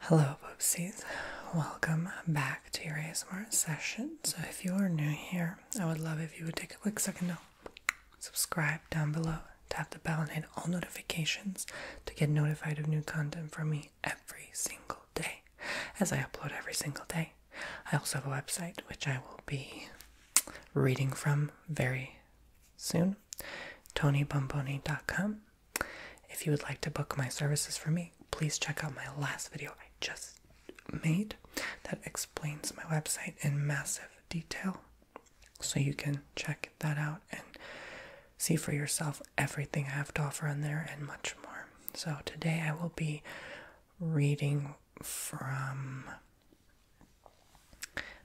Hello, Boopsies. Welcome back to your ASMR session. So, if you are new here, I would love if you would take a quick second to subscribe down below, tap the bell, and hit all notifications to get notified of new content from me every single day, as I upload every single day. I also have a website which I will be reading from very soon information, If you would like to book my services for me, please check out my last video I just made that explains my website in massive detail. So you can check that out and see for yourself everything I have to offer on there and much more. So today I will be reading from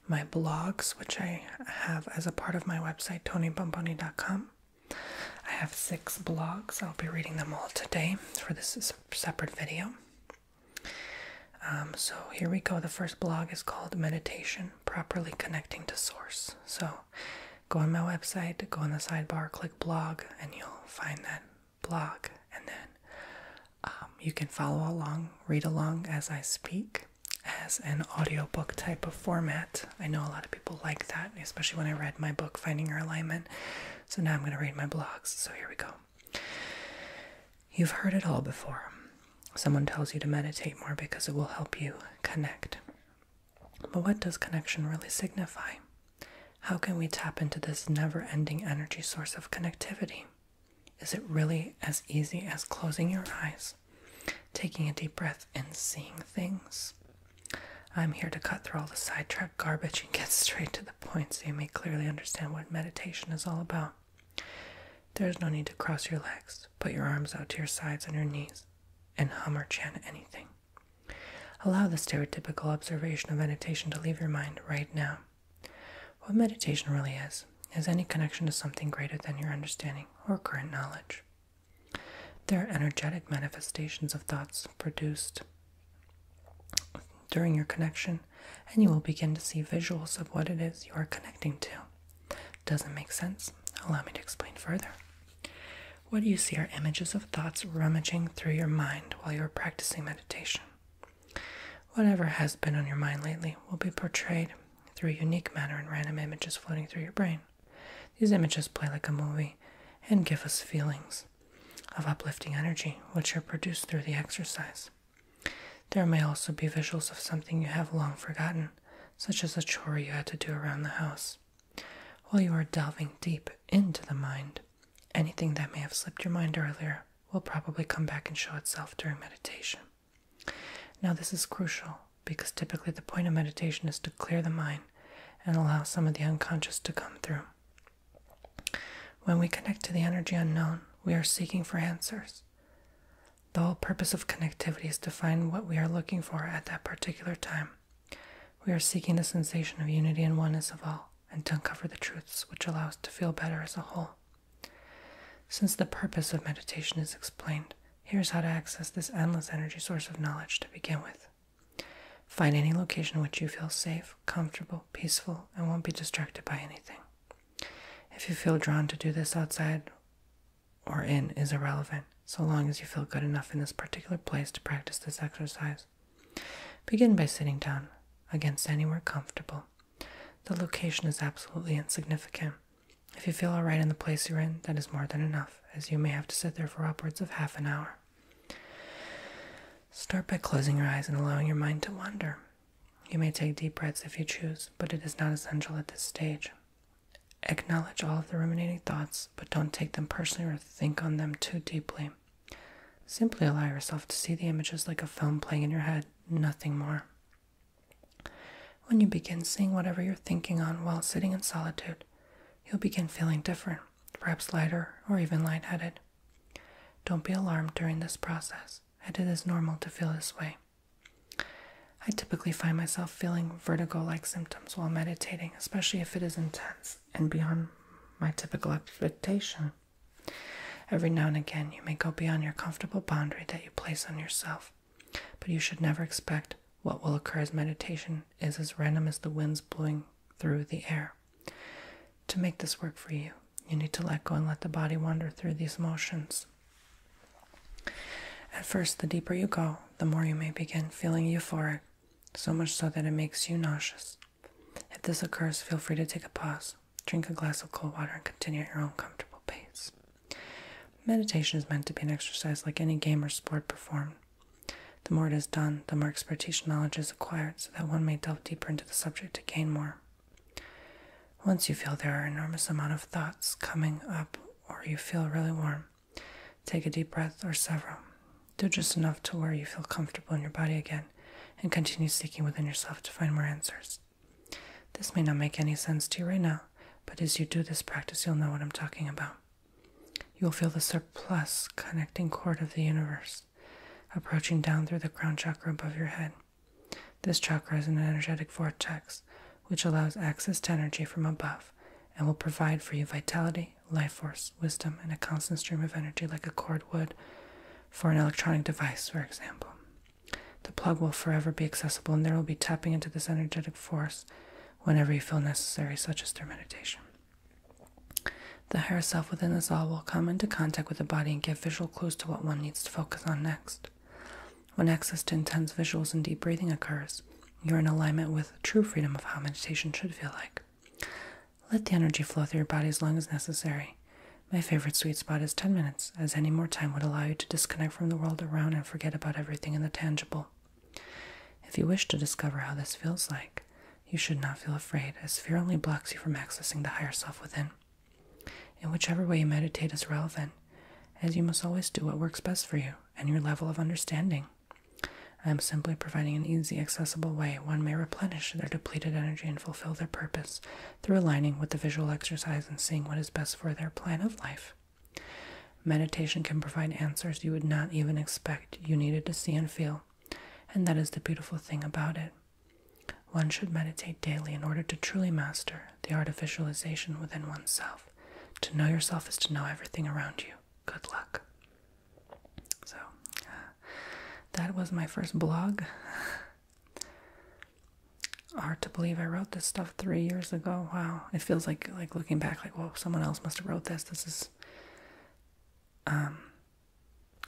my blogs, which I have as a part of my website, tonybomboni.com. I have six blogs. I'll be reading them all today for this separate video. Um, so here we go. The first blog is called Meditation Properly Connecting to Source. So go on my website, go on the sidebar, click blog, and you'll find that blog. And then um, you can follow along, read along as I speak as an audiobook type of format. I know a lot of people like that, especially when I read my book, Finding Your Alignment. So now I'm going to read my blogs. So here we go. You've heard it all before. Someone tells you to meditate more because it will help you connect. But what does connection really signify? How can we tap into this never ending energy source of connectivity? Is it really as easy as closing your eyes taking a deep breath and seeing things. I'm here to cut through all the sidetrack garbage and get straight to the point so you may clearly understand what meditation is all about. There's no need to cross your legs, put your arms out to your sides and your knees, and hum or chant anything. Allow the stereotypical observation of meditation to leave your mind right now. What meditation really is is any connection to something greater than your understanding or current knowledge. There are energetic manifestations of thoughts produced during your connection, and you will begin to see visuals of what it is you are connecting to. Doesn't make sense? Allow me to explain further. What you see are images of thoughts rummaging through your mind while you are practicing meditation. Whatever has been on your mind lately will be portrayed through a unique manner and random images floating through your brain. These images play like a movie and give us feelings of uplifting energy, which are produced through the exercise. There may also be visuals of something you have long forgotten, such as a chore you had to do around the house. While you are delving deep into the mind, anything that may have slipped your mind earlier will probably come back and show itself during meditation. Now, this is crucial because typically the point of meditation is to clear the mind and allow some of the unconscious to come through. When we connect to the energy unknown, we are seeking for answers. The whole purpose of connectivity is to find what we are looking for at that particular time. We are seeking the sensation of unity and oneness of all, and to uncover the truths which allow us to feel better as a whole. Since the purpose of meditation is explained, Here's how to access this endless energy source of knowledge to begin with. Find any location which you feel safe, comfortable, peaceful, and won't be distracted by anything. If you feel drawn to do this outside or in is irrelevant, so long as you feel good enough in this particular place to practice this exercise. Begin by sitting down, again, anywhere comfortable. The location is absolutely insignificant. If you feel all right in the place you're in, that is more than enough, as you may have to sit there for upwards of half an hour. Start by closing your eyes and allowing your mind to wander. You may take deep breaths if you choose, but it is not essential at this stage. Acknowledge all of the ruminating thoughts, but don't take them personally or think on them too deeply. Simply allow yourself to see the images like a film playing in your head, nothing more. When you begin seeing whatever you're thinking on while sitting in solitude, you'll begin feeling different, perhaps lighter or even lightheaded. Don't be alarmed during this process, and it is normal to feel this way. I typically find myself feeling vertigo like symptoms while meditating, especially if it is intense and beyond my typical expectation. Every now and again, you may go beyond your comfortable boundary that you place on yourself, but you should never expect what will occur as meditation is as random as the winds blowing through the air. To make this work for you, you need to let go and let the body wander through these motions. At first, the deeper you go, the more you may begin feeling euphoric, so much so that it makes you nauseous. If this occurs, feel free to take a pause, drink a glass of cold water, and continue at your own comfortable pace. Meditation is meant to be an exercise like any game or sport performed. The more it is done, the more expertise and knowledge is acquired so that one may delve deeper into the subject to gain more. Once you feel there are enormous amount of thoughts coming up or you feel really warm, take a deep breath or several. Do just enough to where you feel comfortable in your body again and continue seeking within yourself to find more answers. This may not make any sense to you right now, but as you do this practice, you'll know what I'm talking about. You'll feel the surplus connecting cord of the universe approaching down through the crown chakra above your head. This chakra is an energetic vortex which allows access to energy from above and will provide for you vitality, life force, wisdom, and a constant stream of energy like a cord would for an electronic device, for example. The plug will forever be accessible, and there will be tapping into this energetic force whenever you feel necessary, such as through meditation. The higher self within us all will come into contact with the body and give visual clues to what one needs to focus on next. When access to intense visuals and deep breathing occurs, you're in alignment with true freedom of how meditation should feel like. Let the energy flow through your body as long as necessary. My favorite sweet spot is 10 minutes, as any more time would allow you to disconnect from the world around and forget about everything in the tangible. If you wish to discover how this feels like, you should not feel afraid, as fear only blocks you from accessing the higher self within. In whichever way you meditate is relevant, as you must always do what works best for you and your level of understanding. I am simply providing an easy, accessible way one may replenish their depleted energy and fulfill their purpose through aligning with the visual exercise and seeing what is best for their plan of life. Meditation can provide answers you would not even expect you needed to see and feel, and that is the beautiful thing about it. One should meditate daily in order to truly master the artificialization within oneself. To know yourself is to know everything around you. Good luck. So, that was my first blog. Hard to believe I wrote this stuff three years ago. Wow, it feels like like looking back, like whoa, someone else must have wrote this. This is um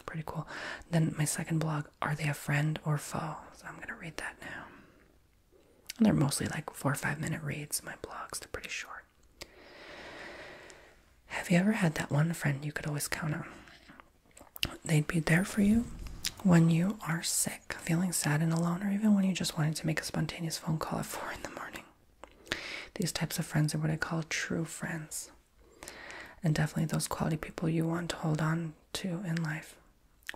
pretty cool. Then my second blog, are they a friend or foe? So I'm gonna read that now. And they're mostly like four or five minute reads. My blogs, they're pretty short. Have you ever had that one friend you could always count on? They'd be there for you when you are sick feeling sad and alone, or even when you just wanted to make a spontaneous phone call at 4 in the morning. These types of friends are what I call true friends, and definitely those quality people you want to hold on to in life.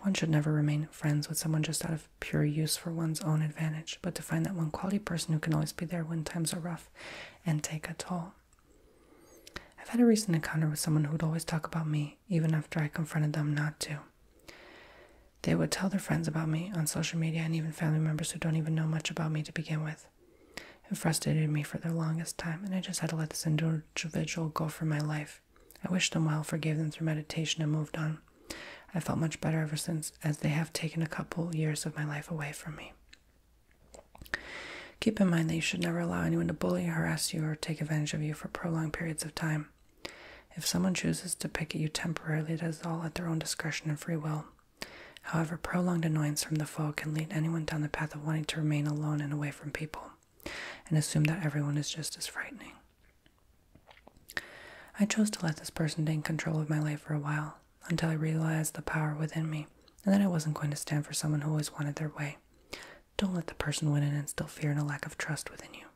One should never remain friends with someone just out of pure use for one's own advantage, but to find that one quality person who can always be there when times are rough and take a toll. I've had a recent encounter with someone who would always talk about me, even after I confronted them not to. They would tell their friends about me on social media and even family members who don't even know much about me to begin with. It frustrated me for the longest time, and I just had to let this individual go for my life. I wished them well, forgave them through meditation, and moved on. I felt much better ever since, as they have taken a couple years of my life away from me. Keep in mind that you should never allow anyone to bully, harass you, or take advantage of you for prolonged periods of time. If someone chooses to picket you temporarily, it is all at their own discretion and free will. However, prolonged annoyance from the foe can lead anyone down the path of wanting to remain alone and away from people, and assume that everyone is just as frightening. I chose to let this person gain control of my life for a while, until I realized the power within me, and then I wasn't going to stand for someone who always wanted their way. Don't let the person win and instill fear and a lack of trust within you.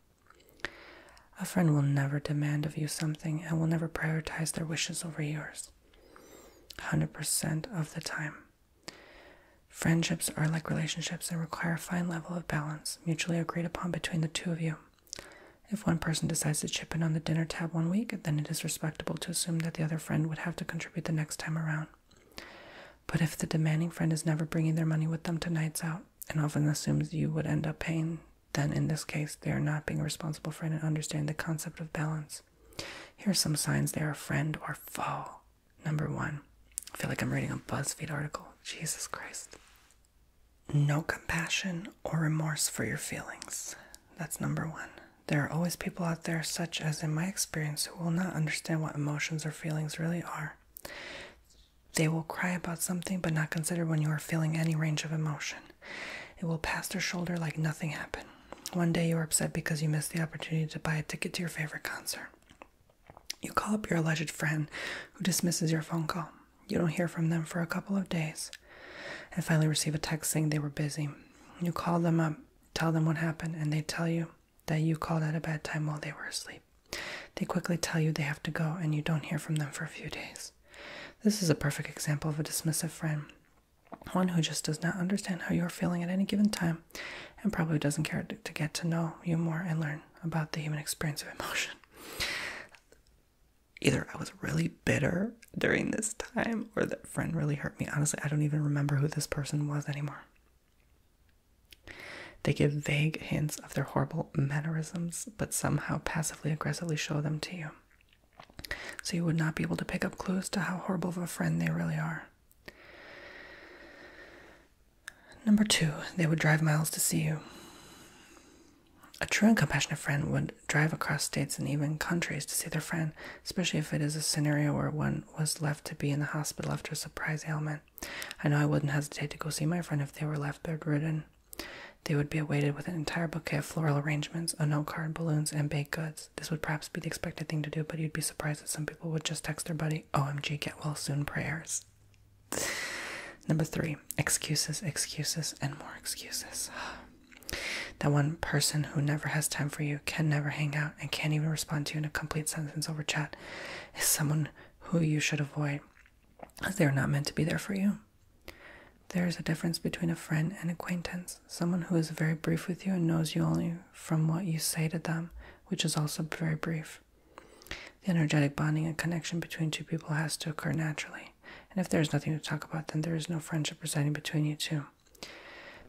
A friend will never demand of you something and will never prioritize their wishes over yours. 100% of the time. Friendships are like relationships and require a fine level of balance, mutually agreed upon between the two of you. If one person decides to chip in on the dinner tab one week, then it is respectable to assume that the other friend would have to contribute the next time around. But if the demanding friend is never bringing their money with them to nights out, and often assumes you would end up paying then in this case they are not being responsible for it and understanding the concept of balance. Here are some signs they are a friend or foe. Number one, I feel like I'm reading a BuzzFeed article. Jesus Christ. No compassion or remorse for your feelings. That's number one. There are always people out there, such as in my experience, who will not understand what emotions or feelings really are. They will cry about something but not consider when you are feeling any range of emotion. It will pass their shoulder like nothing happened. One day you are upset because you missed the opportunity to buy a ticket to your favorite concert. You call up your alleged friend who dismisses your phone call. You don't hear from them for a couple of days and finally receive a text saying they were busy. You call them up, tell them what happened, and they tell you that you called at a bad time while they were asleep. They quickly tell you they have to go and you don't hear from them for a few days. This is a perfect example of a dismissive friend, one who just does not understand how you are feeling at any given time and probably doesn't care to get to know you more and learn about the human experience of emotion. Either I was really bitter during this time or that friend really hurt me. Honestly, I don't even remember who this person was anymore. They give vague hints of their horrible mannerisms, but somehow passively aggressively show them to you. So you would not be able to pick up clues to how horrible of a friend they really are. Number two, they would drive miles to see you. A true and compassionate friend would drive across states and even countries to see their friend, especially if it is a scenario where one was left to be in the hospital after a surprise ailment. I know I wouldn't hesitate to go see my friend if they were left bedridden. They would be awaited with an entire bouquet of floral arrangements, a note card, balloons, and baked goods. This would perhaps be the expected thing to do, but you'd be surprised that some people would just text their buddy, OMG, get well soon prayers. Number three, excuses, excuses, and more excuses. That one person who never has time for you, can never hang out, and can't even respond to you in a complete sentence over chat is someone who you should avoid, as they are not meant to be there for you. There is a difference between a friend and acquaintance, someone who is very brief with you and knows you only from what you say to them, which is also very brief. The energetic bonding and connection between two people has to occur naturally, and if there is nothing to talk about, then there is no friendship residing between you two.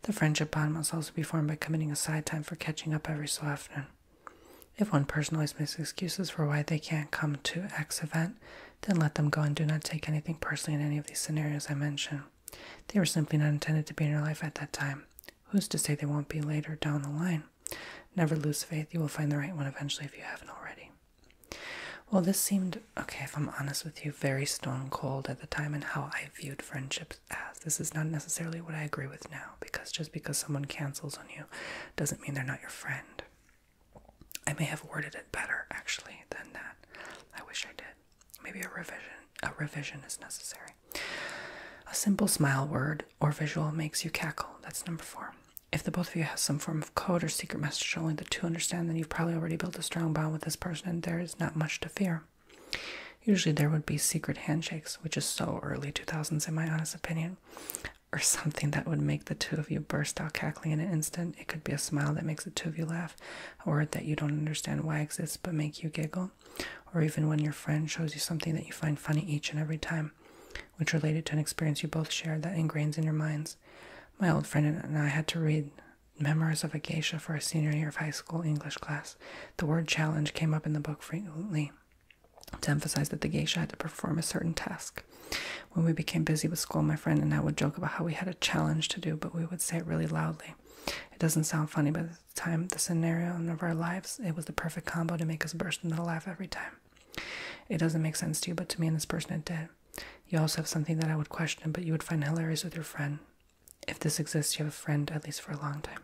The friendship bond must also be formed by committing aside time for catching up every so often. If one person always makes excuses for why they can't come to X event, then let them go and do not take anything personally in any of these scenarios I mentioned. They were simply not intended to be in your life at that time. Who's to say they won't be later down the line? Never lose faith. You will find the right one eventually if you haven't already. Well, this seemed, okay, if I'm honest with you, very stone cold at the time and how I viewed friendships as. This is not necessarily what I agree with now because just because someone cancels on you doesn't mean they're not your friend. I may have worded it better actually than that. I wish I did. Maybe a revision a revision is necessary. A simple smile word or visual makes you cackle. That's number four. If the both of you has some form of code or secret message only the two understand, then you've probably already built a strong bond with this person and there is not much to fear. Usually there would be secret handshakes, which is so early 2000s in my honest opinion or something that would make the two of you burst out cackling in an instant. It could be a smile that makes the two of you laugh, a word that you don't understand why exists but make you giggle, or even when your friend shows you something that you find funny each and every time, which related to an experience you both shared that ingrains in your minds. My old friend and I had to read Memoirs of a Geisha for a senior year of high school English class. The word challenge came up in the book frequently to emphasize that the geisha had to perform a certain task. When we became busy with school, my friend and I would joke about how we had a challenge to do, but we would say it really loudly. It doesn't sound funny, but at the time, the scenario of our lives, it was the perfect combo to make us burst into laugh every time. It doesn't make sense to you, but to me and this person it did. You also have something that I would question, but you would find hilarious with your friend. If this exists, you have a friend, at least for a long time.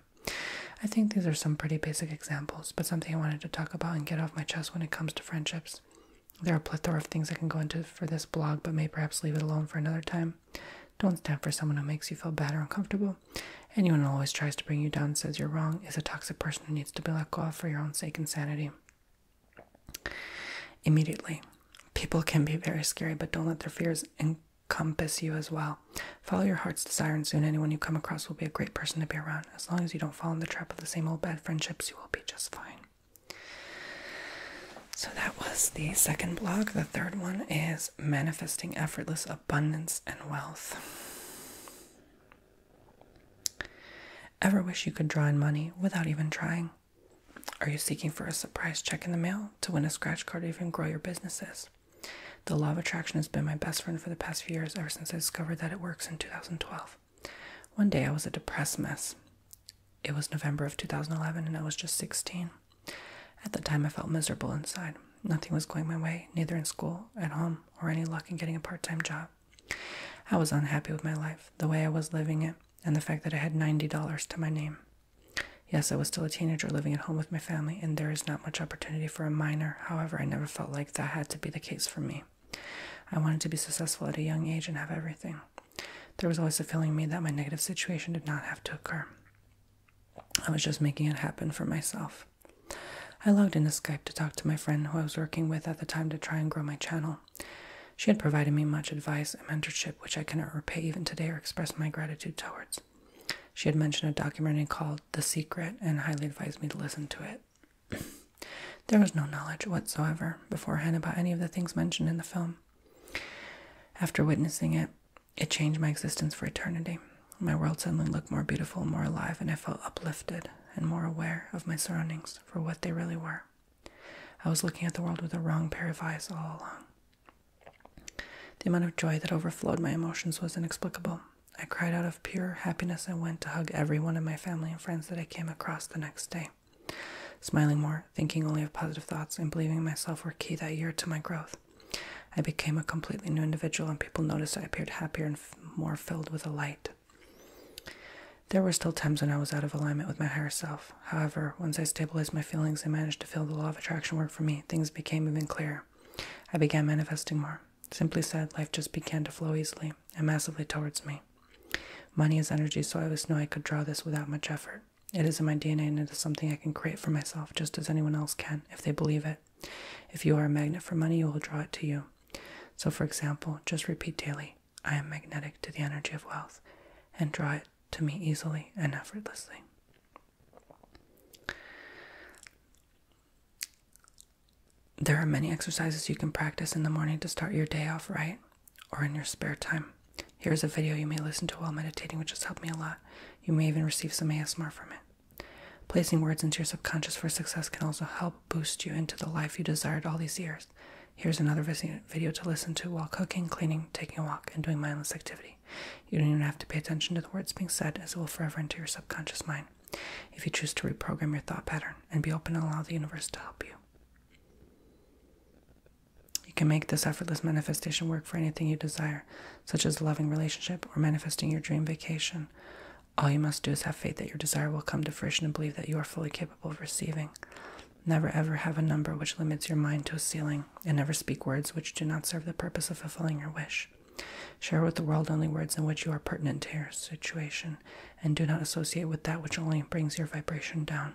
I think these are some pretty basic examples, but something I wanted to talk about and get off my chest when it comes to friendships. There are a plethora of things I can go into for this blog, but may perhaps leave it alone for another time. Don't stand for someone who makes you feel bad or uncomfortable. Anyone who always tries to bring you down, says you're wrong, is a toxic person who needs to be let go of for your own sake and sanity. Immediately. People can be very scary, but don't let their fears encompass you as well. Follow your heart's desire, and soon anyone you come across will be a great person to be around. As long as you don't fall in the trap of the same old bad friendships, you will be just fine. So that was the second blog. The third one is manifesting effortless abundance and wealth. Ever wish you could draw in money without even trying? Are you seeking for a surprise check in the mail to win a scratch card or even grow your businesses? The law of attraction has been my best friend for the past few years, ever since I discovered that it works in 2012. One day I was a depressed mess. It was November of 2011 and I was just 16. At the time, I felt miserable inside. Nothing was going my way, neither in school, at home, or any luck in getting a part time job. I was unhappy with my life, the way I was living it, and the fact that I had $90 to my name. Yes, I was still a teenager living at home with my family, and there is not much opportunity for a minor. However, I never felt like that had to be the case for me. I wanted to be successful at a young age and have everything. There was always a feeling me that my negative situation did not have to occur. I was just making it happen for myself. I logged into Skype to talk to my friend who I was working with at the time to try and grow my channel. She had provided me much advice and mentorship, which I cannot repay even today or express my gratitude towards. She had mentioned a documentary called The Secret and highly advised me to listen to it. there was no knowledge whatsoever beforehand about any of the things mentioned in the film. After witnessing it, it changed my existence for eternity. My world suddenly looked more beautiful, more alive, and I felt uplifted and more aware of my surroundings for what they really were. I was looking at the world with the wrong pair of eyes all along. The amount of joy that overflowed my emotions was inexplicable. I cried out of pure happiness and went to hug every one of my family and friends that I came across the next day. Smiling more, thinking only of positive thoughts, and believing myself were key that year to my growth. I became a completely new individual, and people noticed I appeared happier and more filled with a light. There were still times when I was out of alignment with my higher self. However, once I stabilized my feelings and managed to feel the law of attraction work for me, things became even clearer. I began manifesting more. Simply said, life just began to flow easily and massively towards me. Money is energy, so I always know I could draw this without much effort. It is in my DNA and it is something I can create for myself just as anyone else can if they believe it. If you are a magnet for money, you will draw it to you. So, for example, just repeat daily I am magnetic to the energy of wealth and draw it to me easily and effortlessly. There are many exercises you can practice in the morning to start your day off right or in your spare time. Here's a video you may listen to while meditating, which has helped me a lot. You may even receive some ASMR from it. Placing words into your subconscious for success can also help boost you into the life you desired all these years. Here's another video to listen to while cooking, cleaning, taking a walk, and doing mindless activity. You don't even have to pay attention to the words being said, as it will forever enter your subconscious mind. If you choose to reprogram your thought pattern and be open and allow the universe to help you. You can make this effortless manifestation work for anything you desire, such as a loving relationship or manifesting your dream vacation. All you must do is have faith that your desire will come to fruition and believe that you are fully capable of receiving. Never ever have a number which limits your mind to a ceiling, and never speak words which do not serve the purpose of fulfilling your wish. Share with the world only words in which you are pertinent to your situation and do not associate with that which only brings your vibration down.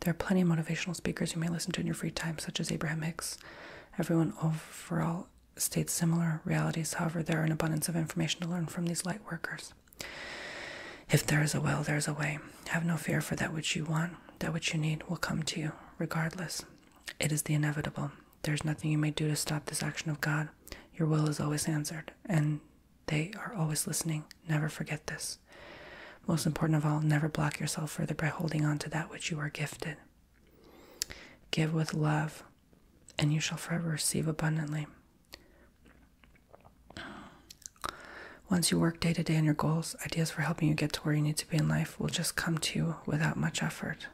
There are plenty of motivational speakers you may listen to in your free time, such as Abraham Hicks. Everyone overall states similar realities, however, there are an abundance of information to learn from these light workers. If there is a will, there is a way. Have no fear for that which you want, that which you need will come to you, regardless. It is the inevitable. There is nothing you may do to stop this action of God. Your will is always answered, and they are always listening. Never forget this. Most important of all, never block yourself further by holding on to that which you are gifted. Give with love, and you shall forever receive abundantly. Once you work day to day on your goals, ideas for helping you get to where you need to be in life will just come to you without much effort.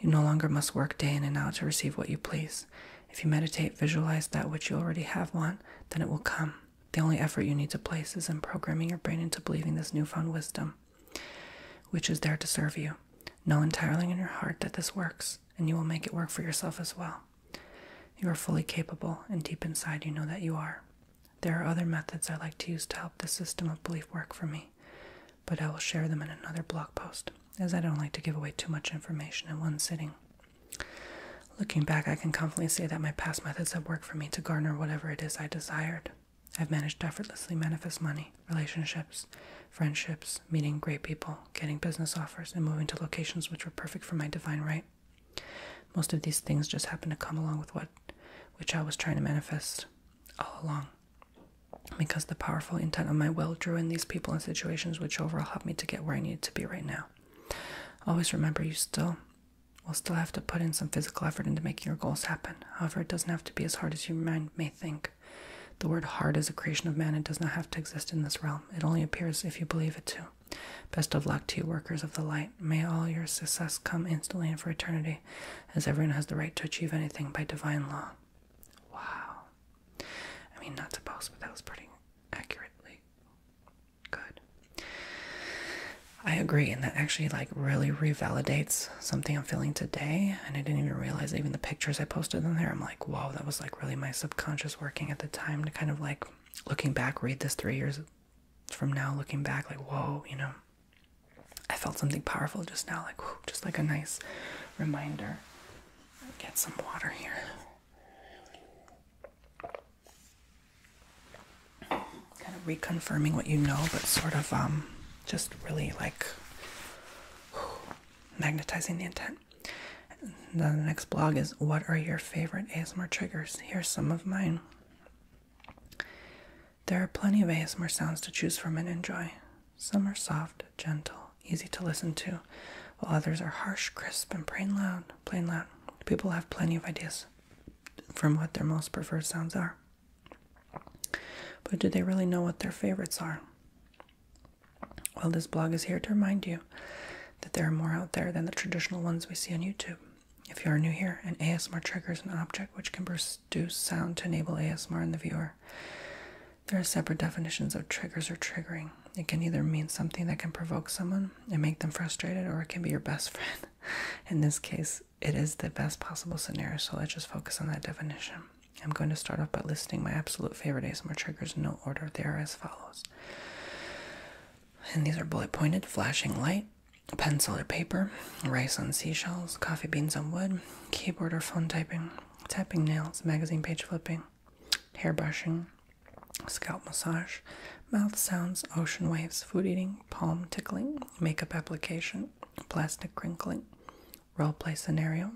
You no longer must work day in and out to receive what you please. If you meditate, visualize that which you already have want, then it will come. The only effort you need to place is in programming your brain into believing this newfound wisdom, which is there to serve you. Know entirely in your heart that this works, and you will make it work for yourself as well. You are fully capable, and deep inside you know that you are. There are other methods I like to use to help this system of belief work for me, but I will share them in another blog post as I don't like to give away too much information in one sitting. Looking back, I can confidently say that my past methods have worked for me to garner whatever it is I desired. I've managed to effortlessly manifest money, relationships, friendships, meeting great people, getting business offers, and moving to locations which were perfect for my divine right. Most of these things just happened to come along with what which I was trying to manifest all along. Because the powerful intent of my will drew in these people and situations which overall me to get where I need to be right now. Always remember you still will still have to put in some physical effort into making your goals happen. However, it doesn't have to be as hard as your mind may think. The word hard is a creation of man and does not have to exist in this realm. It only appears if you believe it to. Best of luck to you, workers of the light. May all your success come instantly and for eternity, as everyone has the right to achieve anything by divine law. Wow. I mean, not to supposed, but that was pretty accurately good. I agree, and that actually like really revalidates something I'm feeling today. And I didn't even realize even the pictures I posted in there. I'm like, whoa, that was like really my subconscious working at the time to kind of like looking back, read this three years from now, looking back, like, whoa, you know, I felt something powerful just now, like, whew, just like a nice reminder. Get some water here. Kind of reconfirming what you know, but sort of um, just really like magnetizing the intent. The next blog is What are your favorite ASMR triggers? Here's some of mine. There are plenty of ASMR sounds to choose from and enjoy. Some are soft, gentle, easy to listen to, while others are harsh, crisp, and plain loud. Plain loud. People have plenty of ideas from what their most preferred sounds are. But do they really know what their favorites are? Well, this blog is here to remind you that there are more out there than the traditional ones we see on YouTube. If you are new here, an ASMR trigger is an object which can produce sound to enable ASMR in the viewer. There are separate definitions of triggers or triggering. It can either mean something that can provoke someone and make them frustrated, or it can be your best friend. In this case, it is the best possible scenario, so let's just focus on that definition. I'm going to start off by listing my absolute favorite ASMR triggers in no order. They are as follows. And these are bullet pointed, flashing light, pencil or paper, rice on seashells, coffee beans on wood, keyboard or phone typing, tapping nails, magazine page flipping, hair brushing, scalp massage, mouth sounds, ocean waves, food eating, palm tickling, makeup application, plastic crinkling, role play scenario,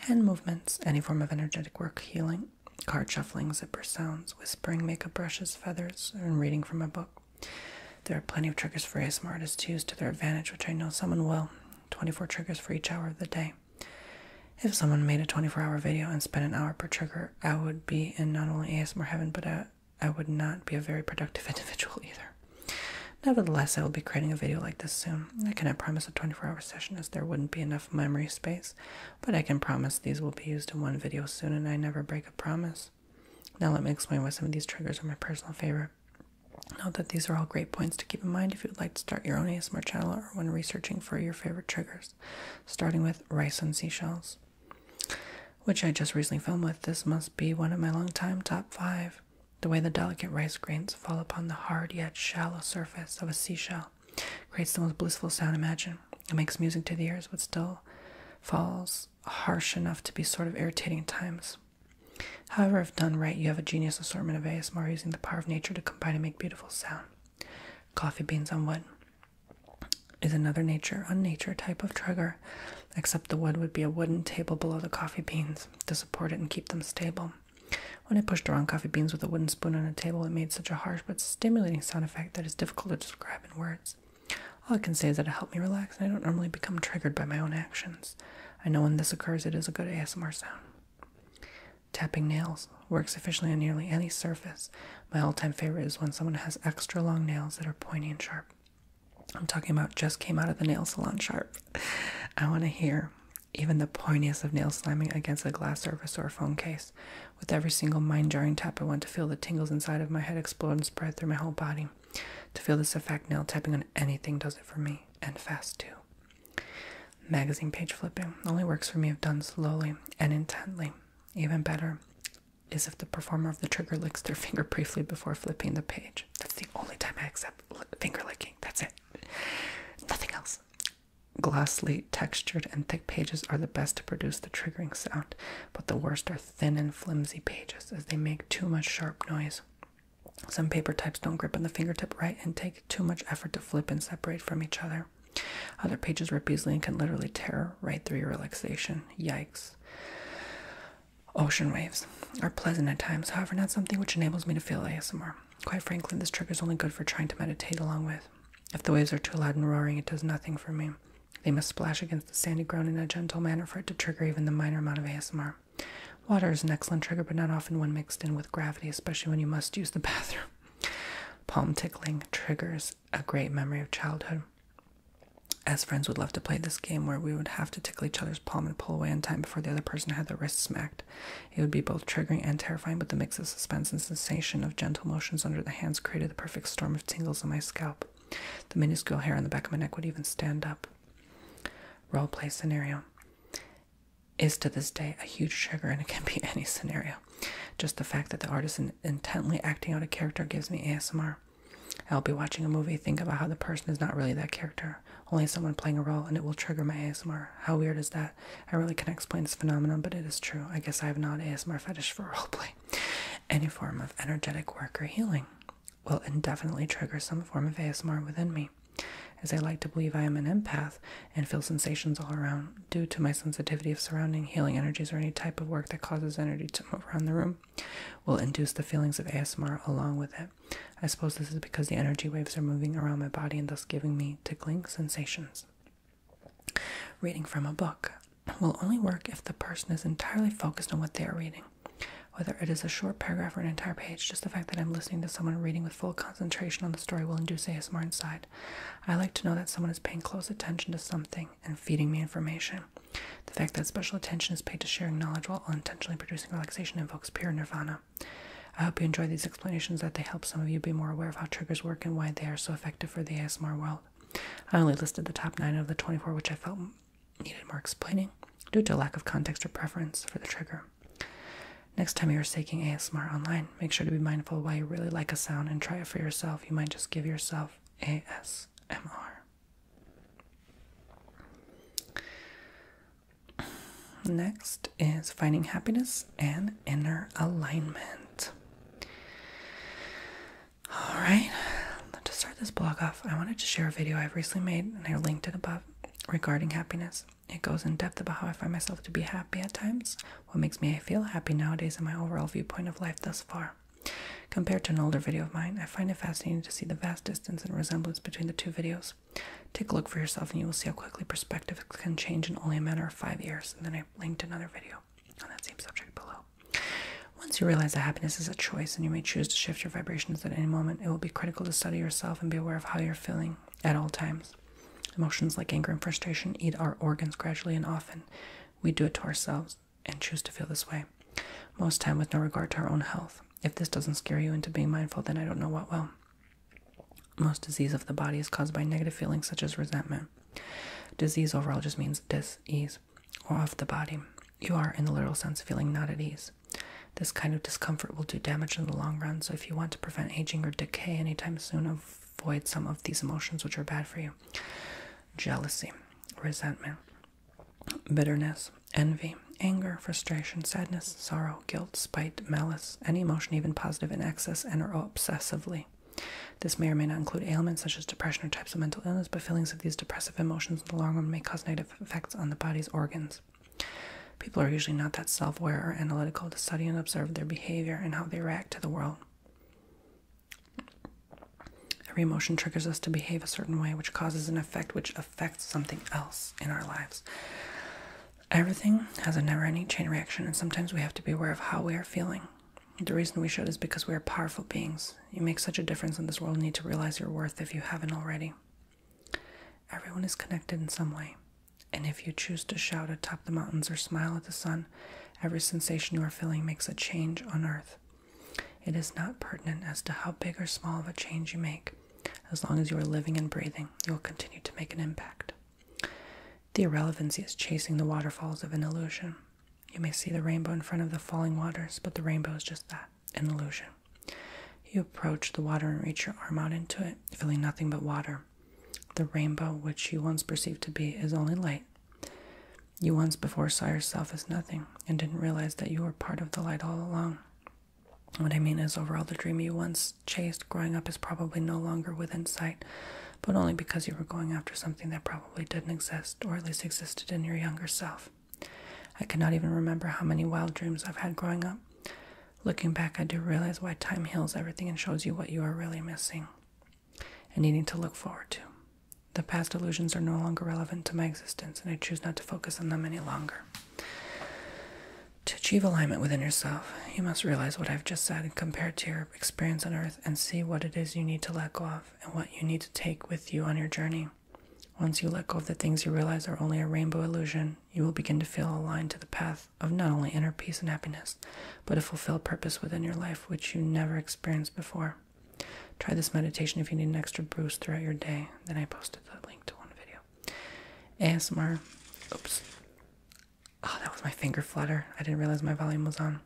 hand movements, any form of energetic work, healing, card shuffling, zipper sounds, whispering, makeup brushes, feathers, and reading from a book. There are plenty of triggers for ASMR artists to use to their advantage, which I know someone will. 24 triggers for each hour of the day. If someone made a 24 hour video and spent an hour per trigger, I would be in not only ASMR heaven, but I, would not be a very productive individual either. Nevertheless, I will be creating a video like this soon. I cannot promise a 24 hour session as there wouldn't be enough memory space, but I can promise these will be used in one video soon and I never break a promise. Now, let me explain why some of these triggers are my personal favorite. Note that these are all great points to keep in mind if you would like to start your own ASMR channel or when researching for your favorite triggers, starting with rice and seashells, which I just recently filmed with. This must be one of my long-time top five. The way the delicate rice grains fall upon the hard yet shallow surface of a seashell creates the most blissful sound imaginable. It makes music to the ears, but still falls harsh enough to be sort of irritating at times. However, if done right, you have a genius assortment of ASMR using the power of nature to combine and make beautiful sound. Coffee beans on wood is another nature unnature type of trigger, except the wood would be a wooden table below the coffee beans to support it and keep them stable. When I push around coffee beans with a wooden spoon on a table, it made such a harsh but stimulating sound effect that is difficult to describe in words. All I can say is that it helped me relax, and I don't normally become triggered by my own actions. I know when this occurs, it is a good ASMR sound. Tapping nails works efficiently on nearly any surface. My all time favorite is when someone has extra long nails that are pointy and sharp. I'm talking about just came out of the nail salon sharp. I want to hear even the pointiest of nails slamming against a glass surface or phone case. With every single mind jarring tap, I want to feel the tingles inside of my head explode and spread through my whole body. To feel this effect, nail tapping on anything does it for me, and fast too. Magazine page flipping only works for me if done slowly and intently. Even better is if the performer of the trigger licks their finger briefly before flipping the page. That's the only time I accept finger licking. That's it. Nothing else. Glossy, textured, and thick pages are the best to produce the triggering sound, but the worst are thin and flimsy pages as they make too much sharp noise. Some paper types don't grip on the fingertip right and take too much effort to flip and separate from each other. Other pages where and can literally tear right through your relaxation. Yikes. Ocean waves are pleasant at times, however, not something which enables me to feel ASMR. Quite frankly, this trigger is only good for trying to meditate along with. If the waves are too loud and roaring, it does nothing for me. They must splash against the sandy ground in a gentle manner for it to trigger even the minor amount of ASMR. Water is an excellent trigger, but not often one mixed in with gravity, especially when you must use the bathroom. Palm tickling triggers a great memory of childhood. As friends would love to play this game where we would have to tickle each other's palm and pull away in time before the other person had their wrist smacked. It would be both triggering and terrifying, but the mix of suspense and sensation of gentle motions under the hands created the perfect storm of tingles on my scalp. The minuscule hair on the back of my neck would even stand up. Role play scenario is to this day a huge trigger and it can be any scenario. Just the fact that the artist is intently acting out a character gives me ASMR. I'll be watching a movie, think about how the person is not really that character, only someone playing a role, and it will trigger my ASMR. How weird is that? I really can't explain this phenomenon, but it is true. I guess I have not ASMR fetish for roleplay. Any form of energetic work or healing will indefinitely trigger some form of ASMR within me, as I like to believe I am an empath and feel sensations all around due to my sensitivity of surrounding healing energies or any type of work that causes energy to move around the room will induce the feelings of ASMR along with it. I suppose this is because the energy waves are moving around my body and thus giving me tickling sensations. Reading from a book will only work if the person is entirely focused on what they are reading. Whether it is a short paragraph or an entire page, just the fact that I'm listening to someone reading with full concentration on the story will induce ASMR inside. I like to know that someone is paying close attention to something and feeding me information. The fact that special attention is paid to sharing knowledge while unintentionally producing relaxation invokes pure nirvana. I hope you enjoy these explanations, that they help some of you be more aware of how triggers work and why they are so effective for the ASMR world. I only listed the top 9 of the 24 which I felt needed more explaining due to lack of context or preference for the trigger. Next time you're taking ASMR online, make sure to be mindful of why you really like a sound and try it for yourself. You might just give yourself ASMR. Next is finding happiness and inner alignment. All right, to start this blog off, I wanted to share a video I've recently made and I linked it above regarding happiness. It goes in depth about how I find myself to be happy at times what makes me feel happy nowadays in my overall viewpoint of life thus far. Compared to an older video of mine, I find it fascinating to see the vast distance and resemblance between the two videos. Take a look for yourself and you will see how quickly perspective can change in only a matter of five years. And then I linked another video on that same subject below. Once you realize that happiness is a choice and you may choose to shift your vibrations at any moment, it will be critical to study yourself and be aware of how you're feeling at all times. Emotions like anger and frustration eat our organs gradually and often. We do it to ourselves and choose to feel this way. Most time with no regard to our own health. If this doesn't scare you into being mindful, then I don't know what will. Most disease of the body is caused by negative feelings such as resentment. Disease overall just means dis-ease or of the body. You are, in the literal sense, feeling not at ease. This kind of discomfort will do damage in the long run, so if you want to prevent aging or decay anytime soon, of avoid some of these emotions which are bad for you jealousy, resentment, bitterness, envy, anger, frustration, sadness, sorrow, guilt, spite, malice, any emotion, even positive in excess and obsessively. This may or may not include ailments such as depression or types of mental illness, but feelings of these depressive emotions in the long run may cause negative effects on the body's organs. People are usually not that self aware or analytical to study and observe their behavior and how they react to the world. Every emotion triggers us to behave a certain way, which causes an effect which affects something else in our lives. Everything has a never ending chain reaction, and sometimes we have to be aware of how we are feeling. The reason we should is because we are powerful beings. You make such a difference in this world, need to realize your worth if you haven't already. Everyone is connected in some way. And if you choose to shout atop the mountains or smile at the sun, every sensation you are feeling makes a change on earth. It is not pertinent as to how big or small of a change you make. As long as you are living and breathing, you will continue to make an impact. The irrelevancy is chasing the waterfalls of an illusion. You may see the rainbow in front of the falling waters, but the rainbow is just that an illusion. You approach the water and reach your arm out into it, feeling nothing but water, the rainbow, which you once perceived to be, is only light. You once before saw yourself as nothing and didn't realize that you were part of the light all along. What I mean is, overall, the dream you once chased growing up is probably no longer within sight, but only because you were going after something that probably didn't exist, or at least existed in your younger self. I cannot even remember how many wild dreams I've had growing up. Looking back, I do realize why time heals everything and shows you what you are really missing and needing to look forward to. The past illusions are no longer relevant to my existence, and I choose not to focus on them any longer. To achieve alignment within yourself, you must realize what I've just said compared to your experience on earth and see what it is you need to let go of and what you need to take with you on your journey. Once you let go of the things you realize are only a rainbow illusion, you will begin to feel aligned to the path of not only inner peace and happiness, but a fulfilled purpose within your life which you never experienced before. Try this meditation if you need an extra boost throughout your day. Then I posted the link to one video. ASMR. Oops. Oh, that was my finger flutter. I didn't realize my volume was on.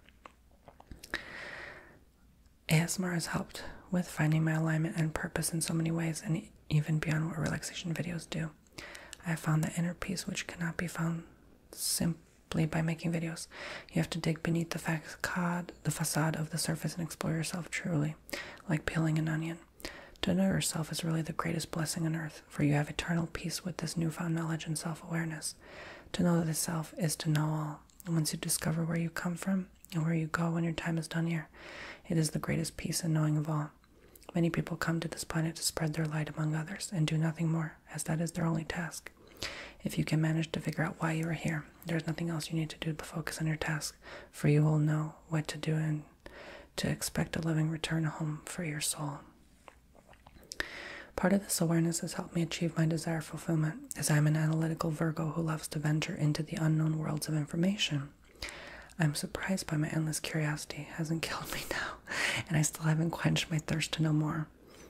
ASMR has helped with finding my alignment and purpose in so many ways, and even beyond what relaxation videos do. I have found the inner peace which cannot be found sim Bleed by making videos. You have to dig beneath the facade, the facade of the surface and explore yourself truly, like peeling an onion. To know yourself is really the greatest blessing on earth, for you have eternal peace with this newfound knowledge and self-awareness. To know the self is to know all. And once you discover where you come from and where you go when your time is done here, it is the greatest peace and knowing of all. Many people come to this planet to spread their light among others and do nothing more as that is their only task. If you can manage to figure out why you are here, there is nothing else you need to do but focus on your task, for you will know what to do and to expect a loving return home for your soul. Part of this awareness has helped me achieve my desire fulfillment, as I am an analytical Virgo who loves to venture into the unknown worlds of information. I'm surprised by my endless curiosity hasn't killed me now, and I still haven't quenched my thirst to know more.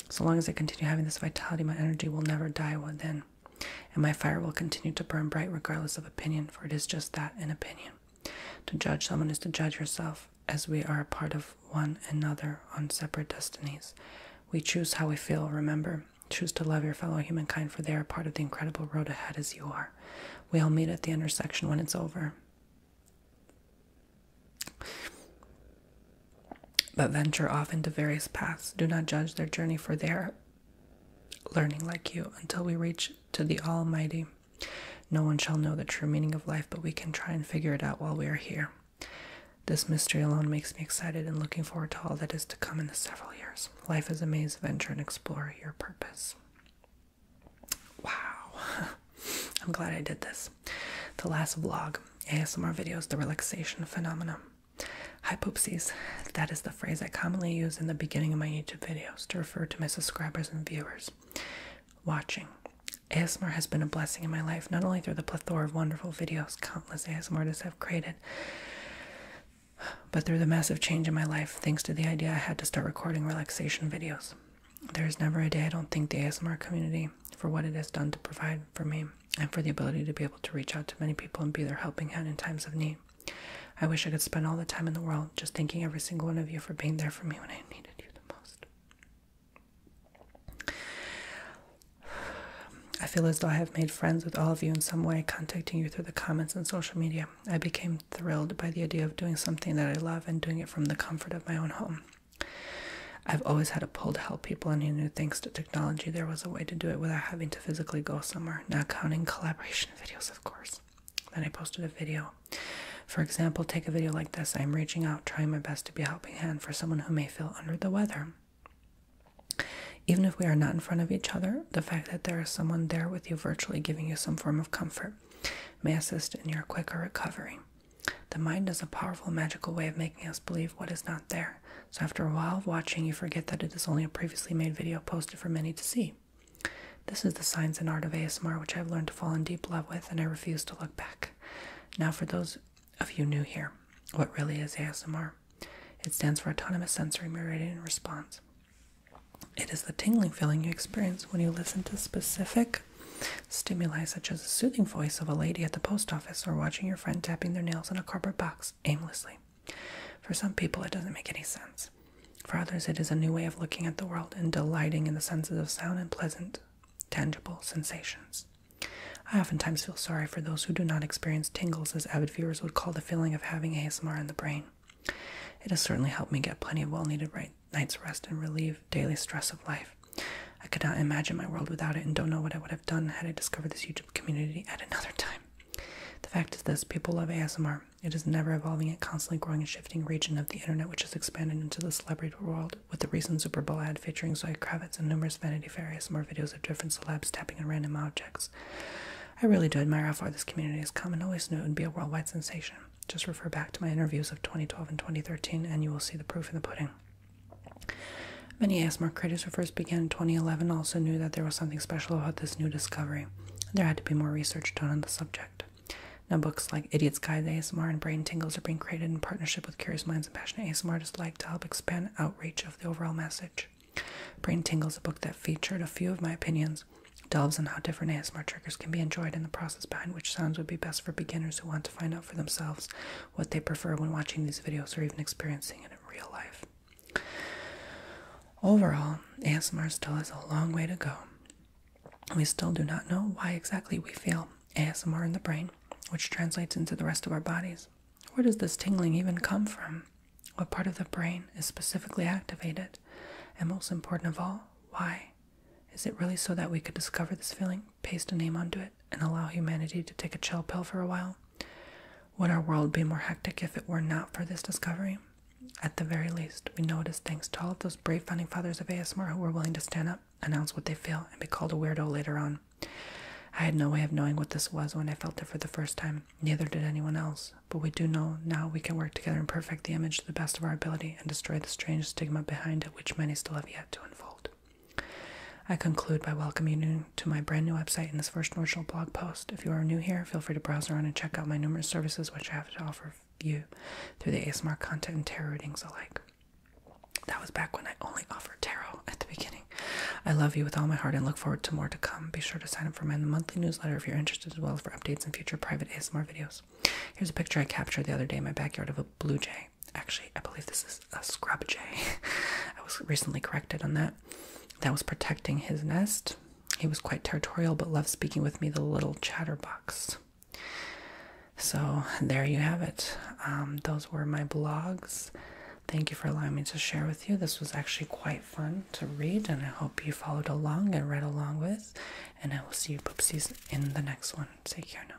So long as I continue having this vitality, my energy will never die within, and my fire will continue to burn bright regardless of opinion, for it is just that an opinion. To judge someone is to judge yourself, as we are a part of one another on separate destinies. We choose how we feel, remember. Choose to love your fellow humankind, for they are part of the incredible road ahead as you are. We all meet at the intersection when it's over. But venture off into various paths. Do not judge their journey, for their learning like you until we reach to the Almighty. No one shall know the true meaning of life, but we can try and figure it out while we are here. This mystery alone makes me excited and looking forward to all that is to come in the several years. Life is a maze, of venture and explore your purpose. Wow. I'm glad I did this. The last vlog, ASMR videos, the relaxation phenomenon. Hi poopsies. That is the phrase I commonly use in the beginning of my YouTube videos to refer to my subscribers and viewers. Watching. ASMR has been a blessing in my life, not only through the plethora of wonderful videos countless ASMR artists have created, but through the massive change in my life thanks to the idea I had to start recording relaxation videos. There is never a day I don't think the ASMR community for what it has done to provide for me and for the ability to be able to reach out to many people and be their helping hand in times of need. I wish I could spend all the time in the world just thanking every single one of you for being there for me when I needed you the most. I feel as though I have made friends with all of you in some way, contacting you through the comments and social media. I became thrilled by the idea of doing something that I love and doing it from the comfort of my own home. I've always had a pull to help people, and he knew thanks to technology there was a way to do it without having to physically go somewhere, not counting collaboration videos, of course. Then I posted a video. For example, take a video like this I'm reaching out, trying my best to be a helping hand for someone who may feel under the weather. Even if we are not in front of each other, the fact that there is someone there with you virtually giving you some form of comfort may assist in your quicker recovery. The mind is a powerful, magical way of making us believe what is not there. So, after a while of watching, you forget that it is only a previously made video posted for many to see. This is the science and art of ASMR, which I've learned to fall in deep love with, and I refuse to look back. Now, for those of you new here, what really is ASMR? It stands for Autonomous Sensory Meridian Response. It is the tingling feeling you experience when you listen to specific Stimuli such as the soothing voice of a lady at the post office or watching your friend tapping their nails on a cardboard box aimlessly. For some people, it doesn't make any sense. For others, it is a new way of looking at the world and delighting in the senses of sound and pleasant, tangible sensations. I oftentimes feel sorry for those who do not experience tingles, as avid viewers would call the feeling of having ASMR in the brain. It has certainly helped me get plenty of well needed night's rest and relief daily stress of life. I could not imagine my world without it and don't know what I would have done had I discovered this YouTube community at another time. The fact is this people love ASMR. It is never evolving and constantly growing and shifting region of the internet, which has expanded into the celebrity world with the recent Super Bowl ad featuring Zoe Kravitz and numerous Vanity Fair ASMR videos of different celebs tapping on random objects. I really do admire how far this community has come and always knew it would be a worldwide sensation. Just refer back to my interviews of 2012 and 2013, and you will see the proof in the pudding. Many ASMR creators who first began in 2011 also knew that there was something special about this new discovery. There had to be more research done on the subject. Now, books like Idiot's Guide to ASMR and Brain Tingles are being created in partnership with Curious Minds and Passionate ASMR artists like to help expand outreach of the overall message. Brain Tingles, a book that featured a few of my opinions, delves on how different ASMR triggers can be enjoyed and the process behind which sounds would be best for beginners who want to find out for themselves what they prefer when watching these videos or even experiencing it in real life. Overall, ASMR still has a long way to go. We still do not know why exactly we feel ASMR in the brain, which translates into the rest of our bodies. Where does this tingling even come from? What part of the brain is specifically activated? And most important of all, why? Is it really so that we could discover this feeling, paste a name onto it, and allow humanity to take a chill pill for a while? Would our world be more hectic if it were not for this discovery? At the very least, we know it is thanks to all of those brave founding fathers of ASMR who were willing to stand up, announce what they feel, and be called a weirdo later on. I had no way of knowing what this was when I felt it for the first time, neither did anyone else, but we do know now we can work together and perfect the image to the best of our ability and destroy the strange stigma behind it which many still have yet to unfold. I conclude by welcoming you to my brand new website in this first original blog post. If you are new here, feel free to browse around and check out my numerous services which I have to offer you through the ASMR content and tarot readings alike. That was back when I only offered tarot at the beginning. I love you with all my heart and look forward to more to come. Be sure to sign up for my monthly newsletter if you're interested, as well for updates and future private ASMR videos. Here's a picture I captured the other day in my backyard of a blue jay actually, I believe this is a scrub jay. I was recently corrected on that. That was protecting his nest. He was quite territorial, but loved speaking with me, the little chatterbox. So, there you have it. Um, those were my blogs. Thank you for allowing me to share with you. This was actually quite fun to read, and I hope you followed along and read along with. And I will see you, poopsies, in the next one. Take care now.